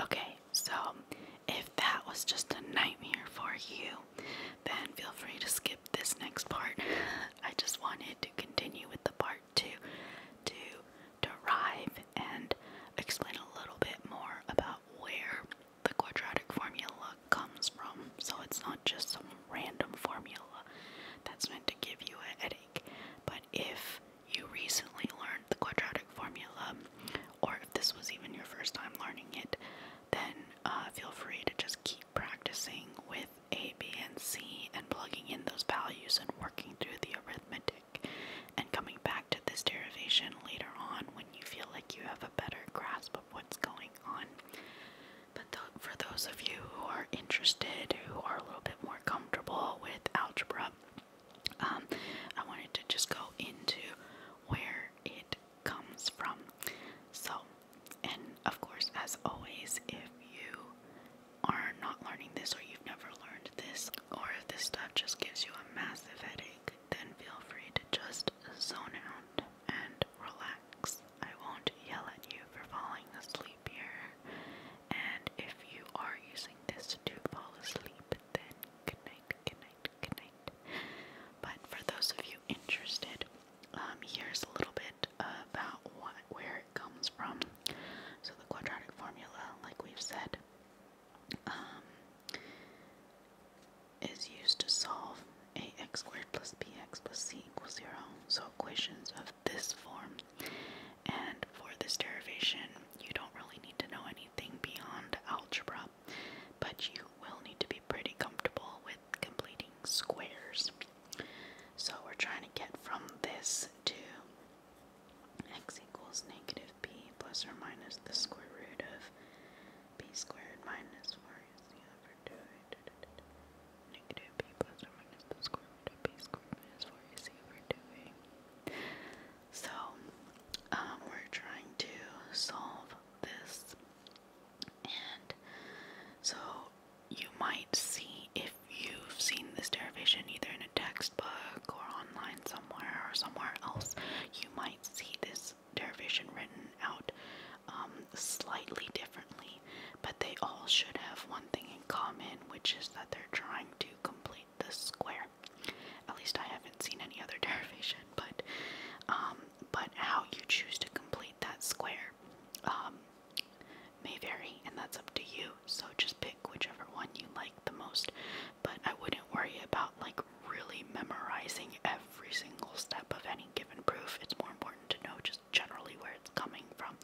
Okay, so if that was just a nightmare for you, then feel free to skip this next part. I just wanted to continue with the part two to derive and explain a little bit more about where the quadratic formula comes from. So it's not just some random formula that's meant to give you a headache, but if you recently learned the quadratic formula, or if this was even your first time learning it, then uh, feel free to just keep practicing with A, B, and C and plugging in those values and working through the arithmetic and coming back to this derivation later on when you feel like you have a better grasp of what's going on. But for those of you who are interested, who are a little bit more comfortable with algebra, um, I wanted to just go into where it comes from. So, and of course, as always, if you are not learning this or you've never learned this, or if this stuff just gives you a massive headache, then feel free to just zone out and relax. I won't yell at you for falling asleep here, and if you are using this to fall asleep, then good night, good night, good night. But for those of you interested, um, here's a little bit about what, where it comes from. So the quadratic formula, like we've said, um, is used to solve ax squared plus bx plus c equals zero. So equations of this form and for this derivation, you don't really need to know anything beyond algebra, but you will need to be pretty comfortable with completing squares. So we're trying to get from this to x equals negative b plus or minus the square root of b squared minus 4 is over 2 negative b plus or minus the square to be scrutinous for we're doing. So, um, we're trying to solve this, and so you might see if you've seen this derivation either in a textbook or online somewhere or somewhere else, you might see this derivation written out um, slightly differently, but they all should have one thing in common, which is that they're trying to complete right, the square. At least I haven't seen any other derivation, but um, but how you choose to complete that square um, may vary, and that's up to you. So just pick whichever one you like the most. But I wouldn't worry about like really memorizing every single step of any given proof. It's more important to know just generally where it's coming from.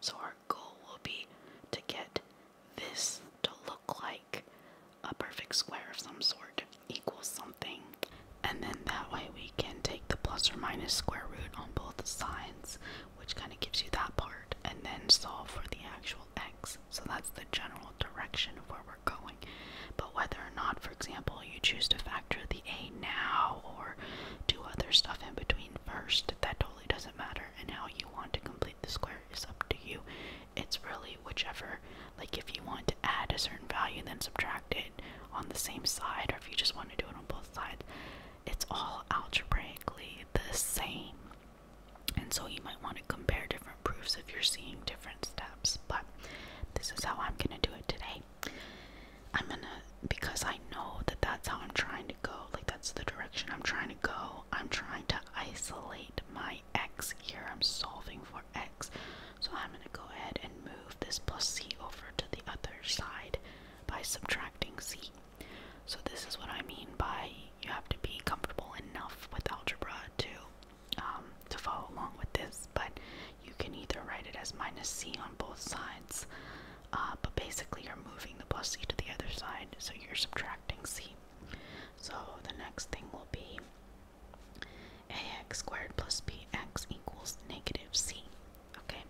So our goal will be to get this to look like a perfect square of some sort equals something. And then that way we can take the plus or minus square root on both sides, which kind of gives you that part, and then solve for the actual x. So that's the general direction of where we're going. But whether or not, for example, you choose to factor the a now or do other stuff in between first, that totally doesn't matter and how you want to complete the square is up to you. It's really whichever, like if you want to add a certain value then subtract it on the same side or if you just want to do it on both sides, it's all algebraically the same. And so you might want to compare different proofs if you're seeing different steps, but this is how I'm going to do it today. I'm going to because I know that that's how I'm trying to go. Like, that's the direction I'm trying to go. I'm trying to isolate my x here. I'm solving for x. So I'm going to go ahead and move this plus c over to the other side by subtracting c. So this is what I mean by you have to be comfortable enough with algebra to um, to follow along with this, but you can either write it as minus c on both sides uh, but basically you're moving the plus c to the other side, so you're subtracting c. So the next thing will be ax squared plus bx equals negative c. Okay?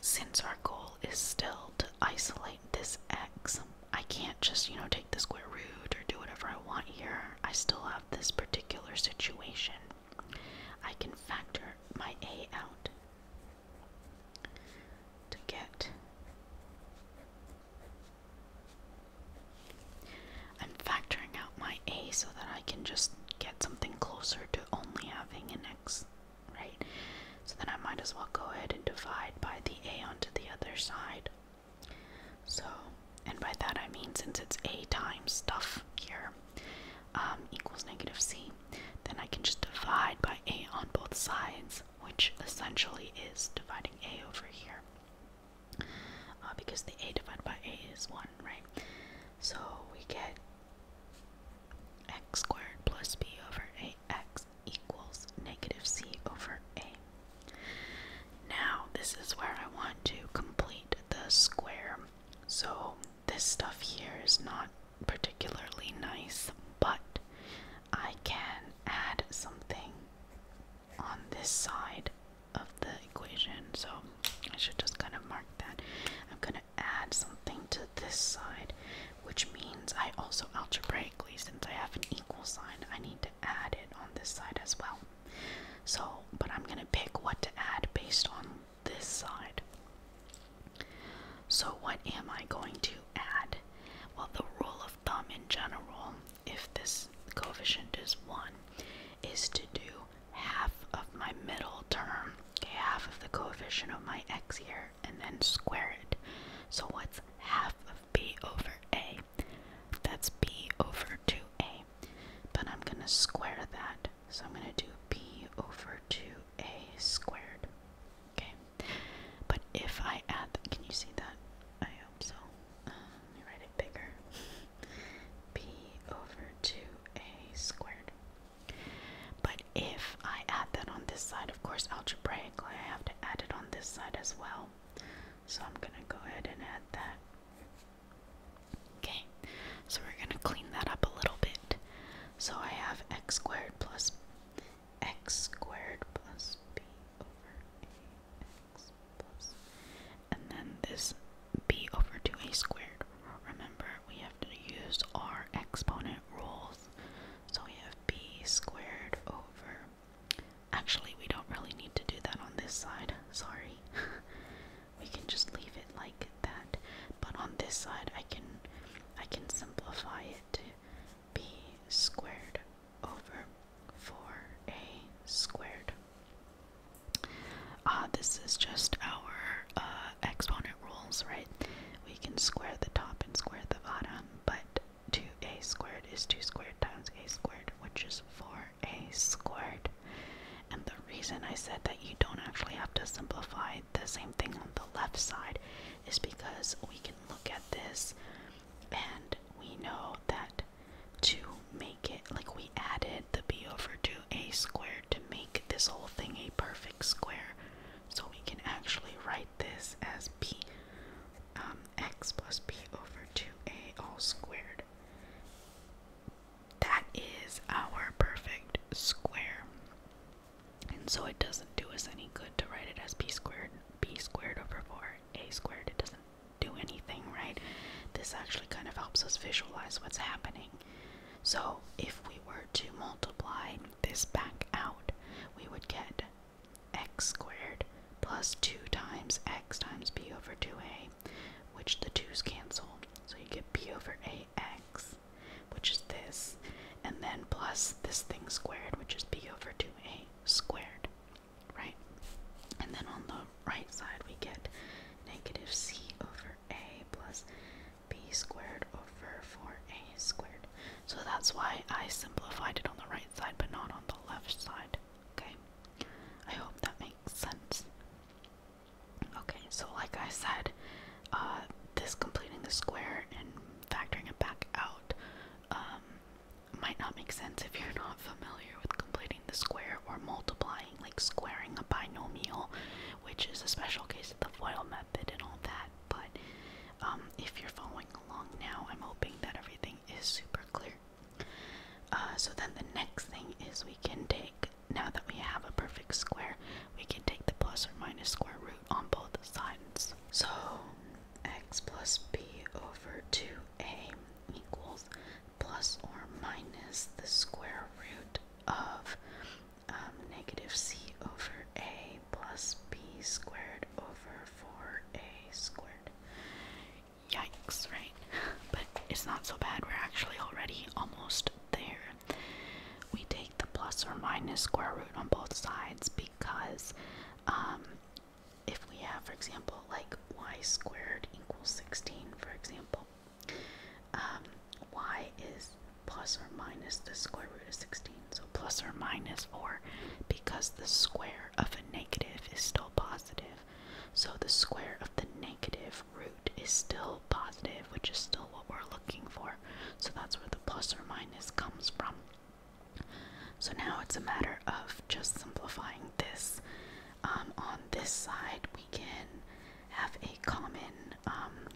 Since our goal is still to isolate this x, I can't just, you know, take the square root or do whatever I want here. I still have this particular situation. I can factor my a out to get. I'm factoring out my A so that I can just get something closer to only having an X, right? So then I might as well go ahead and divide by the A onto the other side. So, and by that I mean since it's A times stuff here um, equals negative C. Then I can just divide by a on both sides, which essentially is dividing a over here. Uh, because the a divided by a is 1, right? So we get x squared plus b over ax equals negative c over a. Now, this is where I want to complete the square. So this stuff here is not particularly nice, but I can add something on this side of the equation, so I should just kind of mark that. I'm gonna add something to this side, which means I also algebraically, since I have an equal sign, I need to add it on this side as well. So, but I'm gonna pick what to add based on this side. So what am I going to add? Well, the rule of thumb in general, if this coefficient is 1, is to do half of my middle term, okay, half of the coefficient of my x here, and then square it. So what's half of b over a? That's b over 2a. But I'm going to square that. So I'm going to do b over 2 a squared. Okay, but if I add, the, can you see that? I hope so. let me write it bigger. b over 2a squared. But if I add that on this side, of course, algebraically I have to add it on this side as well. So I'm gonna go ahead and add that. Okay, so we're gonna clean that up a little bit. So I have x squared plus x squared plus b over ax And then this b over 2a squared. Remember, we have to use our exponent rules. So we have b squared over. Actually, we don't really need to do that on this side. Sorry. we can just leave it like that. But on this side, I can I can simplify it to b squared over 4a squared. Uh, this is just our uh, exponent rules, right? We can square the top and square the bottom, but 2a squared is 2 squared times a squared, which is 4a squared. And the reason I said that you don't actually have to simplify the same thing on the left side is because we can look at this and we know that to make it, like we added the b over 2a squared to make this whole thing a perfect square. So we can actually write this as p um, plus b over 2a all squared that is our perfect square. And so it doesn't do us any good to write it as b squared, b squared over 4, a squared. It doesn't do anything, right? This actually kind of helps us visualize what's happening. So if we were to multiply this back out, we would get x squared plus 2 times x times b over 2a, which the 2's cancel. So you get b over a ax, which is this, and then plus this thing squared, which is b over 2a squared, right? And then on the right side, we get negative c over a plus b squared over 4a squared. So that's why I simplified it on the right side, but not on the left side, okay? I hope that makes sense. Okay, so like I said, uh, this completing the square and factoring it back out um, might not make sense if you're not familiar with completing the square or multiplying, like squaring a binomial, which is a special case of the FOIL method and all that. But um, if you're following along now, I'm hoping that everything is super clear. Uh, so then the next thing is we can take now that we have a perfect square, we can take the plus or minus square root on both sides. So x plus b over 2a equals plus or minus the square root of um, negative c over a plus b squared over 4a squared. Yikes, right? But it's not so bad. We're actually already almost there. We take the plus or minus square root on both sides because um, if we have, for example, like y squared equals 16, for example, um, y is plus or minus the square root of 16, so plus or minus 4 because the square of a negative is still positive. So the square of the negative root is still positive, which is still what we're looking for. So that's where the plus or minus comes from. So now it's a matter of just simplifying this. Um, on this side, we can have a common um,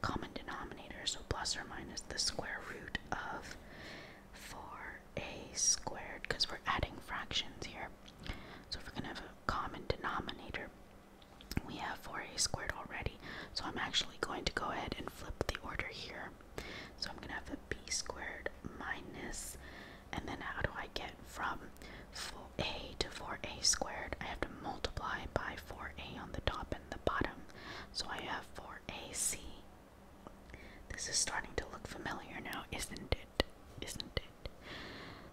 common denominator, so plus or minus the square root of 4a squared, because we're adding fractions here. So if we're going to have a common denominator, we have 4a squared already, so I'm actually going to go ahead and flip the order here. So I'm going to have a b squared minus, and then how do I get from four a to 4a squared? I have to multiply by 4a on the top and the bottom, so I have 4ac. This is starting to look familiar now, isn't it? it, isn't it?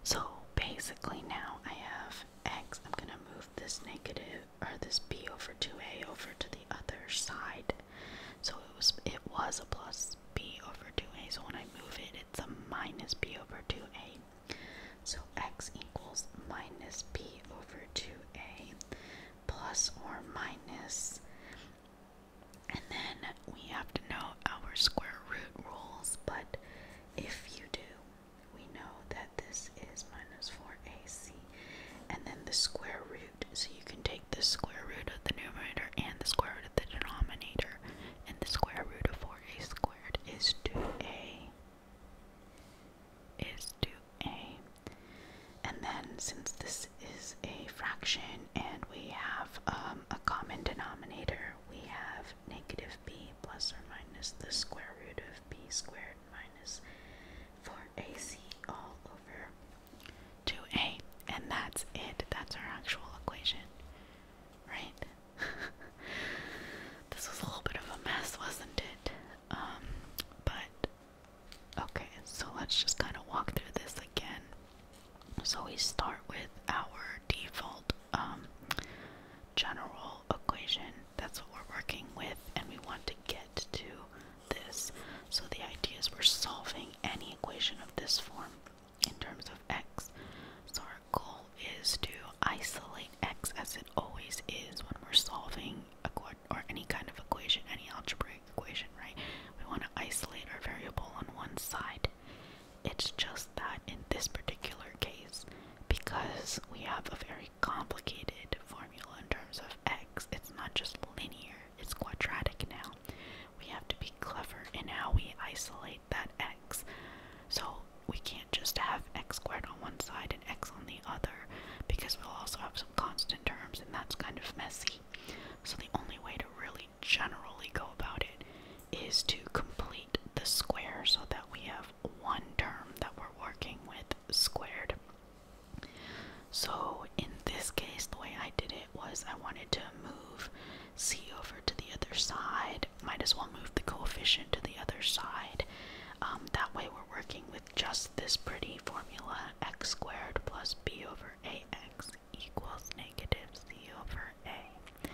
So basically now I have x, I'm gonna move this negative or this b over 2a over to the other side. So it was it was a plus b over 2a. So when I move it, it's a minus b over 2a. So x equals minus b over 2a plus or minus and then we have to know our square root rules, but if you do, we know that this is minus 4ac and then the square root. So you can take the square root of the numerator and the square root of the denominator, and the square root of 4a squared is 2a. Is 2a. And then since this is a fraction and we have um, a common denominator, we have negative b plus or minus the square root of b squared minus 4ac all over 2a. And that's it. That's our actual equation. Right? this was a little bit of a mess, wasn't it? Um, but okay, so let's just kind of walk through this again. So we start with our default um, general equation. That's what we're working with, and we want to get to this. So the idea is we're solving any equation of this form in terms of x. So our goal is to isolate x as it always is when we're solving a or any kind of equation, any algebraic equation, right? We want to isolate our variable on one side it's just that in this particular case, because we have a very complicated formula in terms of x, it's not just linear, it's quadratic now. We have to be clever in how we isolate that x. So we can't just have x squared on one side and x on the other, because we'll also have some constant terms, and that's kind of messy. So the only way to really generally go about it is to complete the square so that we have one term that we're working with squared. So in this case, the way I did it was I wanted to move c over to the other side. Might as well move the coefficient to the other side. Um, that way we're working with just this pretty formula x squared plus b over ax equals negative c over a.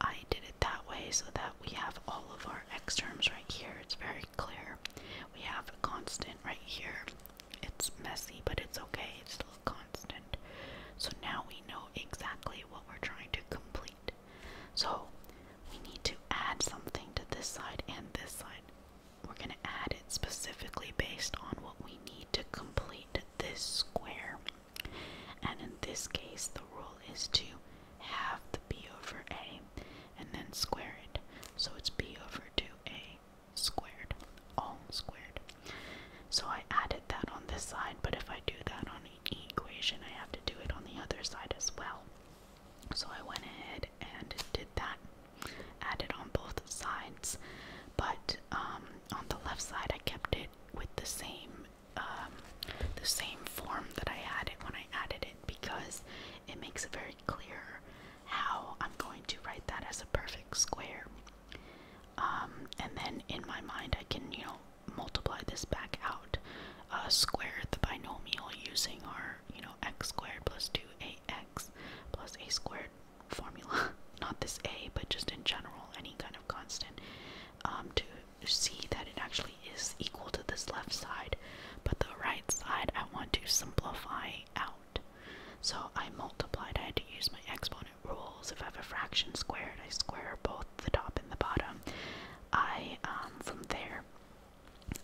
I did it that way so that we have all of our x terms right here. It's very clear. We have a constant right here. It's messy, but it's okay. It's still a constant. So now we know exactly what we're trying to complete. So we need to add something to this side and this side. We're going to add it specifically based on what we need to complete this square. And in this case, the rule is to have the b over a and then square it. So it's b over 2a squared, all squared. So I added that on this side, but if I do that on an equation, I have to do it on the other side as well. So I went ahead and did that, added on both sides, but um, on the left side I kept it with the same um, the same form that I had when I added it because it makes it very clear how I'm going to write that as a perfect square. Um, and then in my mind, I can you know multiply this back out, uh, square the binomial using our you know x squared plus two ax plus a squared formula, not this A, but just in general, any kind of constant, um, to see that it actually is equal to this left side, but the right side I want to simplify out. So I multiplied, I had to use my exponent rules. If I have a fraction squared, I square both the top and the bottom. I, um, from there,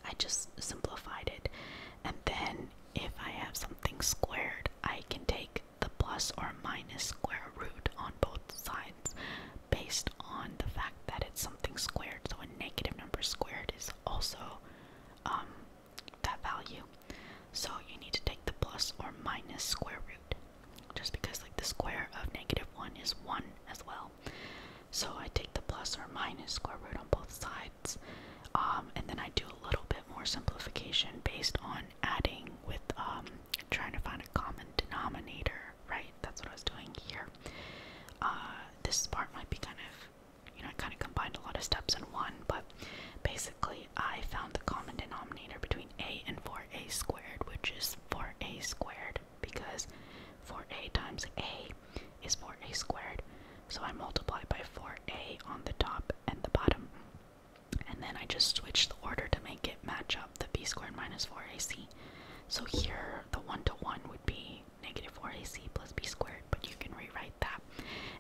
I just simplified it. And then if I have something squared, I can take the plus or minus square root on both sides based on the fact that it's something squared. So a negative number squared is also um, that value. So you need to take the plus or minus square root just because like the square of negative 1 is 1 as well. So I take the plus or minus square root on both sides um, and then I do a little bit more simplification based on adding with um, trying to find a common denominator, right? That's what I was doing here. Uh, this part might be kind of, you know, I kind of combined a lot of steps in one, but basically I found the common denominator between a and 4a squared, which is 4a squared because 4a times a is 4a squared. So I multiply by 4a on the top and the bottom and then I just switched the order to make it match up the b squared minus 4ac. So here the 1 to 1 would be negative 4ac plus b squared, but you can rewrite that.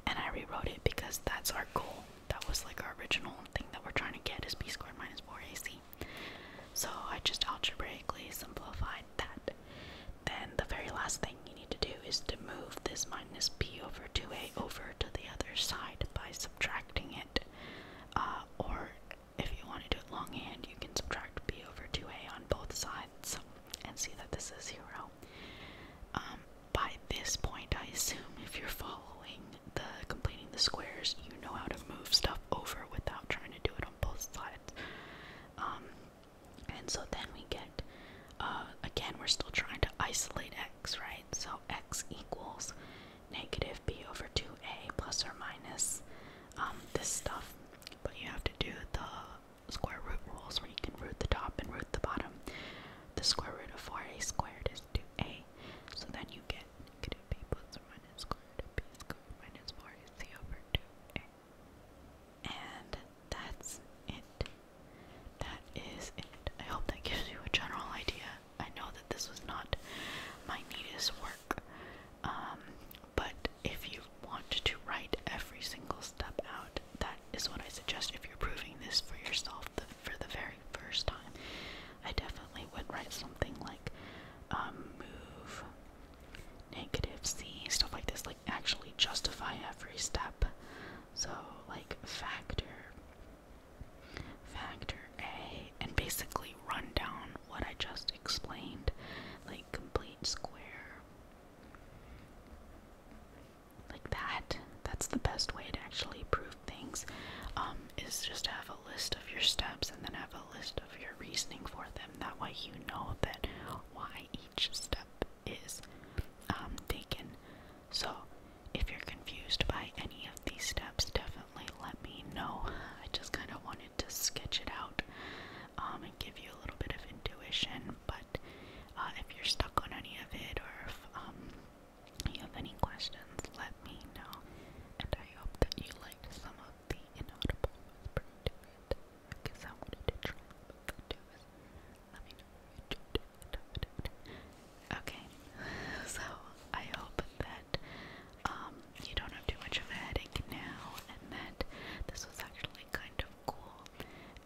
And I rewrote it because that's our goal. That was like our original thing that we're trying to get is b squared minus 4ac. So I just algebraically simplified that. Then the very last thing you need to do is to move this minus b over 2a over to the other side by subtracting it. Uh, or if you want to do it longhand, you can subtract b over 2a on both sides and see that this is 0. Um, by this point, I assume if you're following the completing the squares, you know how to move stuff over without trying to do it on both sides. Um, and so then we get uh, again, we're still trying to isolate x, right? So x equals negative b over 2a plus or minus um, this stuff. But you have to do the square root rules where you can root the top and root the bottom. The square root of 4a squared is 2a. So then you get negative b plus or minus square root of b squared minus 4ac over 2a. And that's it. That is it. I hope that gives you a general idea. I know that this was not my neatest work, um, but if you want to write every single step out, that is what I suggest if you're proving this for yourself the, for the very first time. I definitely would write something like um, move negative c, stuff like this actually justify every step. So like factor factor A and basically run down what I just explained. Like complete square. Like that. That's the best way to actually prove things. Um, is just to have a list of your steps and then have a list of your reasoning for them. That way you know that why each step is um, taken. So, if you're confused by any of these steps, definitely let me know. I just kind of wanted to sketch it out um, and give you a little bit of intuition. But uh, if you're stuck on any of it or if um, you have any questions, let me know. And I hope that you liked some of the inaudible whispering because I wanted to try. But do is let me know what you do. Okay, so I hope that um, you don't have too much of a headache now and that this was actually kind of cool.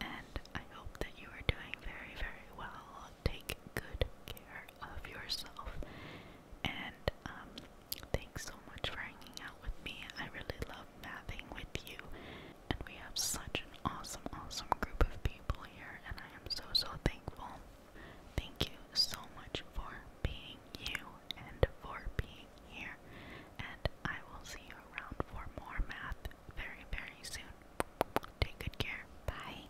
And I hope that you are doing very, very well. Take good care of yourself. And um, thanks so much for hanging out with me. I really love mathing with you and we have such an awesome, awesome group of people here, and I am so, so thankful. Thank you so much for being you and for being here, and I will see you around for more math very, very soon. Take good care. Bye.